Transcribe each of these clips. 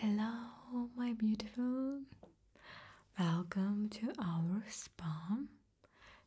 Hello, my beautiful. Welcome to our spa.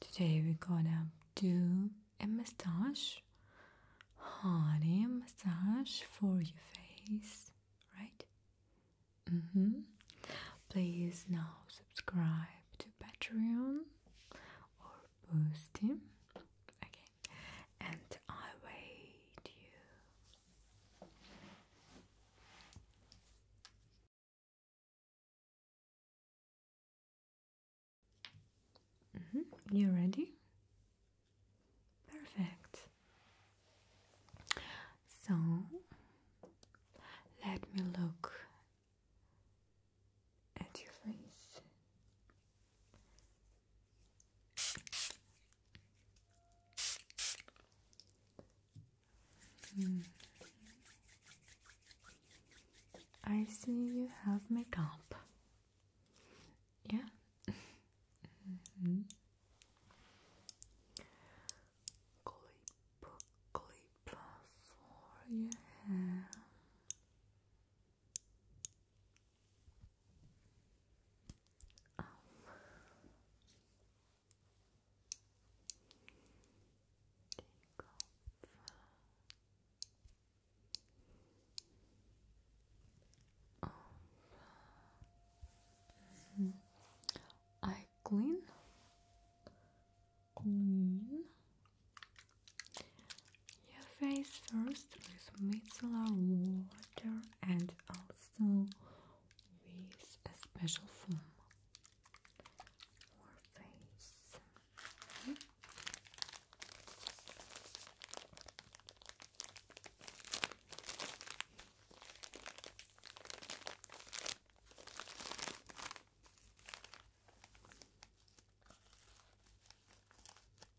Today we're gonna do a massage, honey massage for your face, right? Mm-hmm. Please now subscribe to Patreon or Boosty. Okay, and I wait you Mm -hmm. You ready? Perfect. So let me look at your face. Hmm. I see you have makeup. Yeah. Clip, mm-hmm. clip for your hair. Um, I clean, clean your face first with micellar water and also with a special foam for face.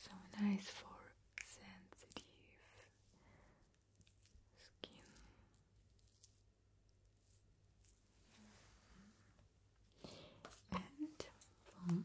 So nice for sensitive skin. And from um,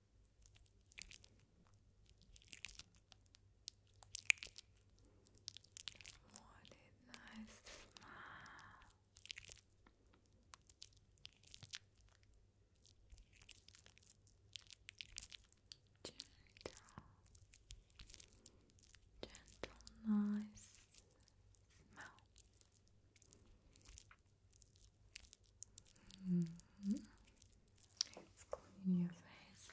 What a nice smile. Gentle, gentle, nice smell. Mm -hmm. Let's clean your face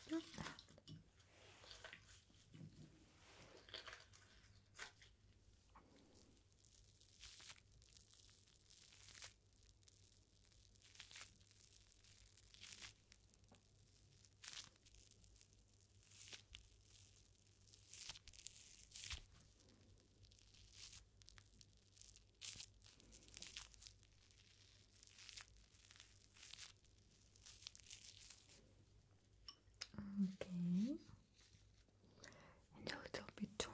Okay, and a little bit tuna.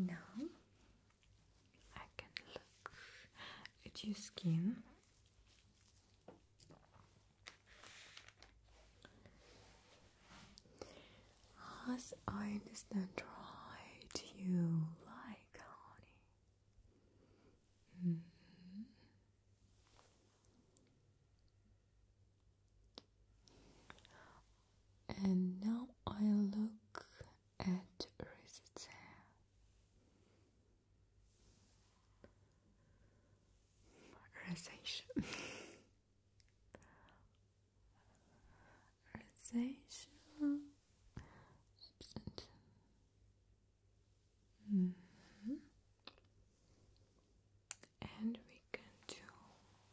Now I can look at your skin. As I understand right, you like honey. Mm-hmm. And now I look at Rizitze. Realization. Rosacea absent. Mm -hmm. And we can do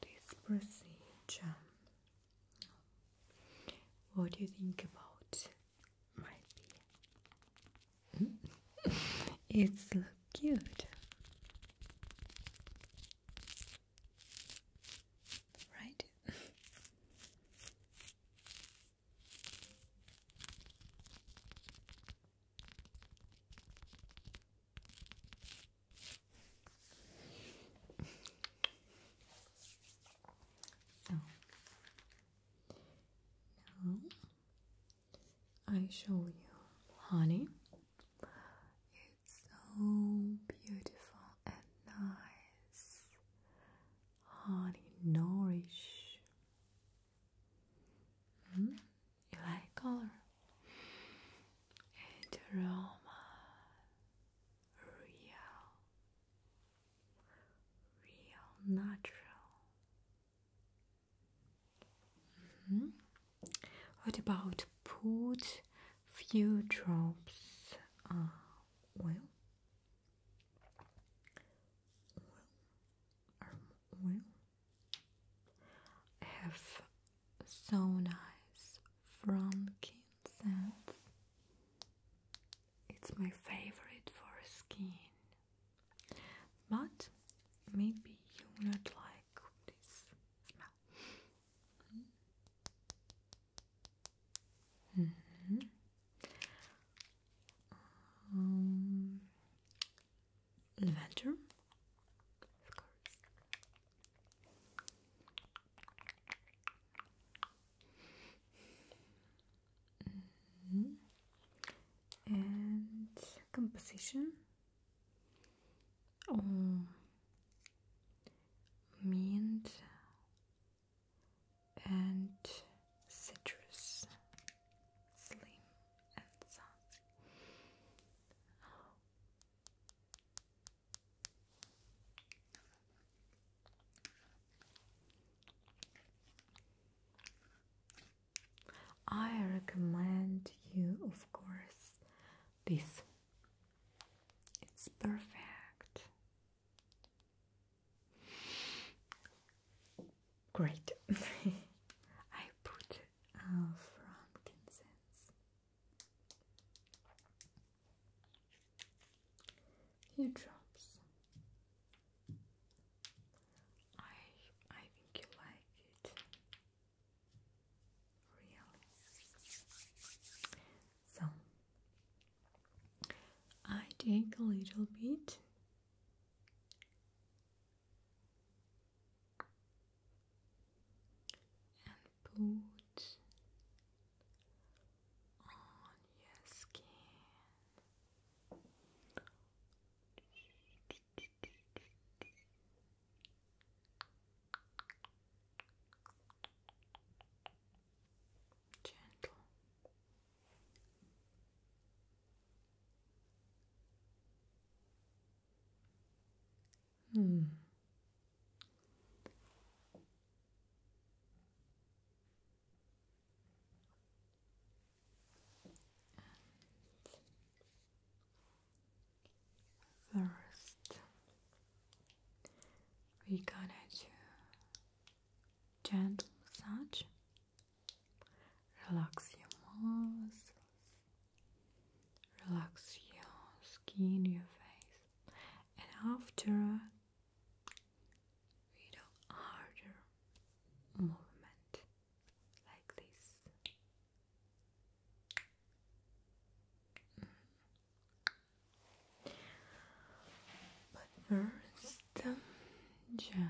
this procedure. What do you think about my beer? it's cute. Right? now I show you honey it's so beautiful and nice. Honey, nourish. Mm, you like color and aroma. Real, real natural. -hmm. What about put few drops uh, of oil? Oil, have so nice from scents. It's my favorite for skin, but maybe you not like this smell. Mm of course. Mm-hmm. And composition um mint and citrus slim and soft I recommend you, of course, this. It's perfect. Great. I put uh, frankincense. He drops. I I think you like it. So I take a little bit. And put on your skin. Gentle. Hmm. First, we gonna do gentle massage. Relax your muscles. Relax your skin, your face, and after we do harder movement like this. But first, the um, gentle.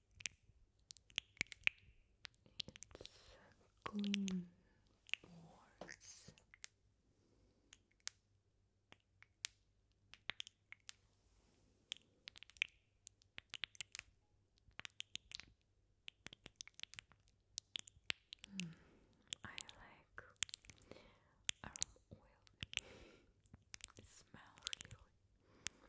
It's Gleam Wars. I like our um, oil. smells really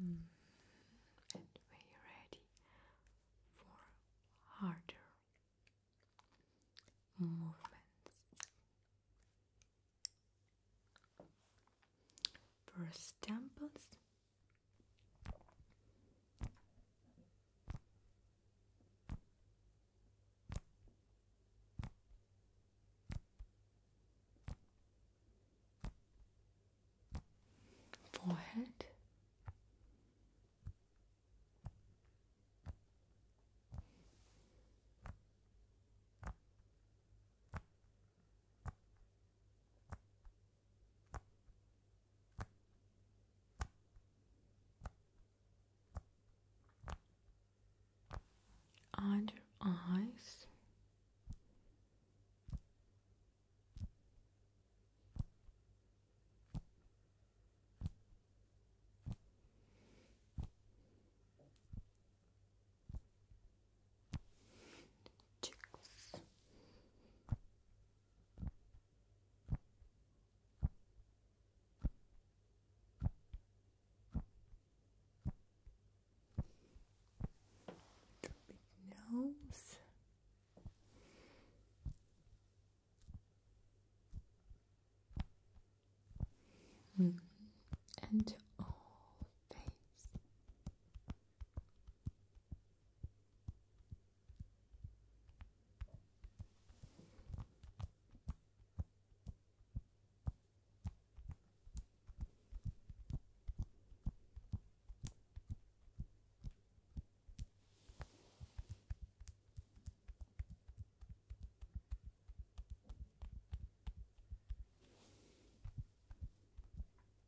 Mm. And we are ready for harder movements. First temples. Forehead under eyes Chicks. Big nose. -hmm. And all face.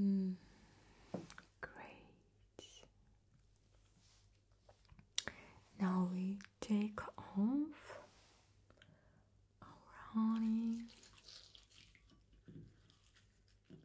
Mm, great. Now we take off our honey. Your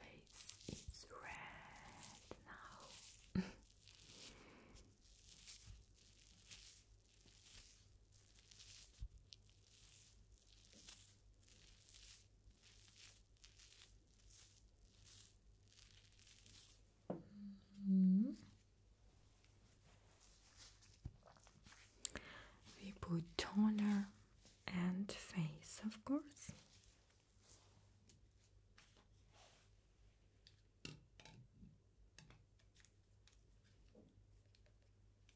face is red now. Mm-hmm. We put toner and face, of course.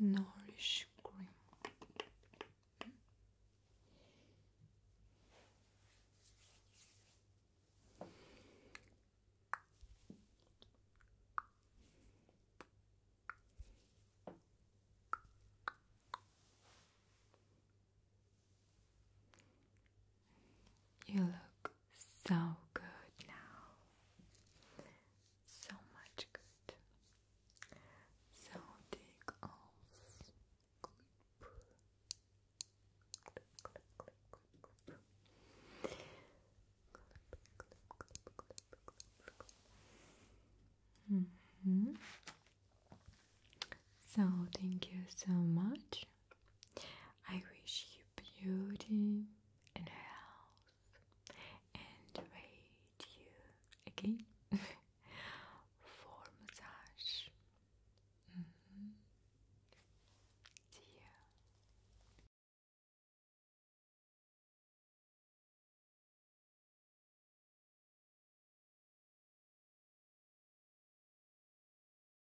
nourish cream. You look so good now. So much good. So take off. Mm-hmm. So, thank you so much I wish you beauty and health and wait you again for massage. Mm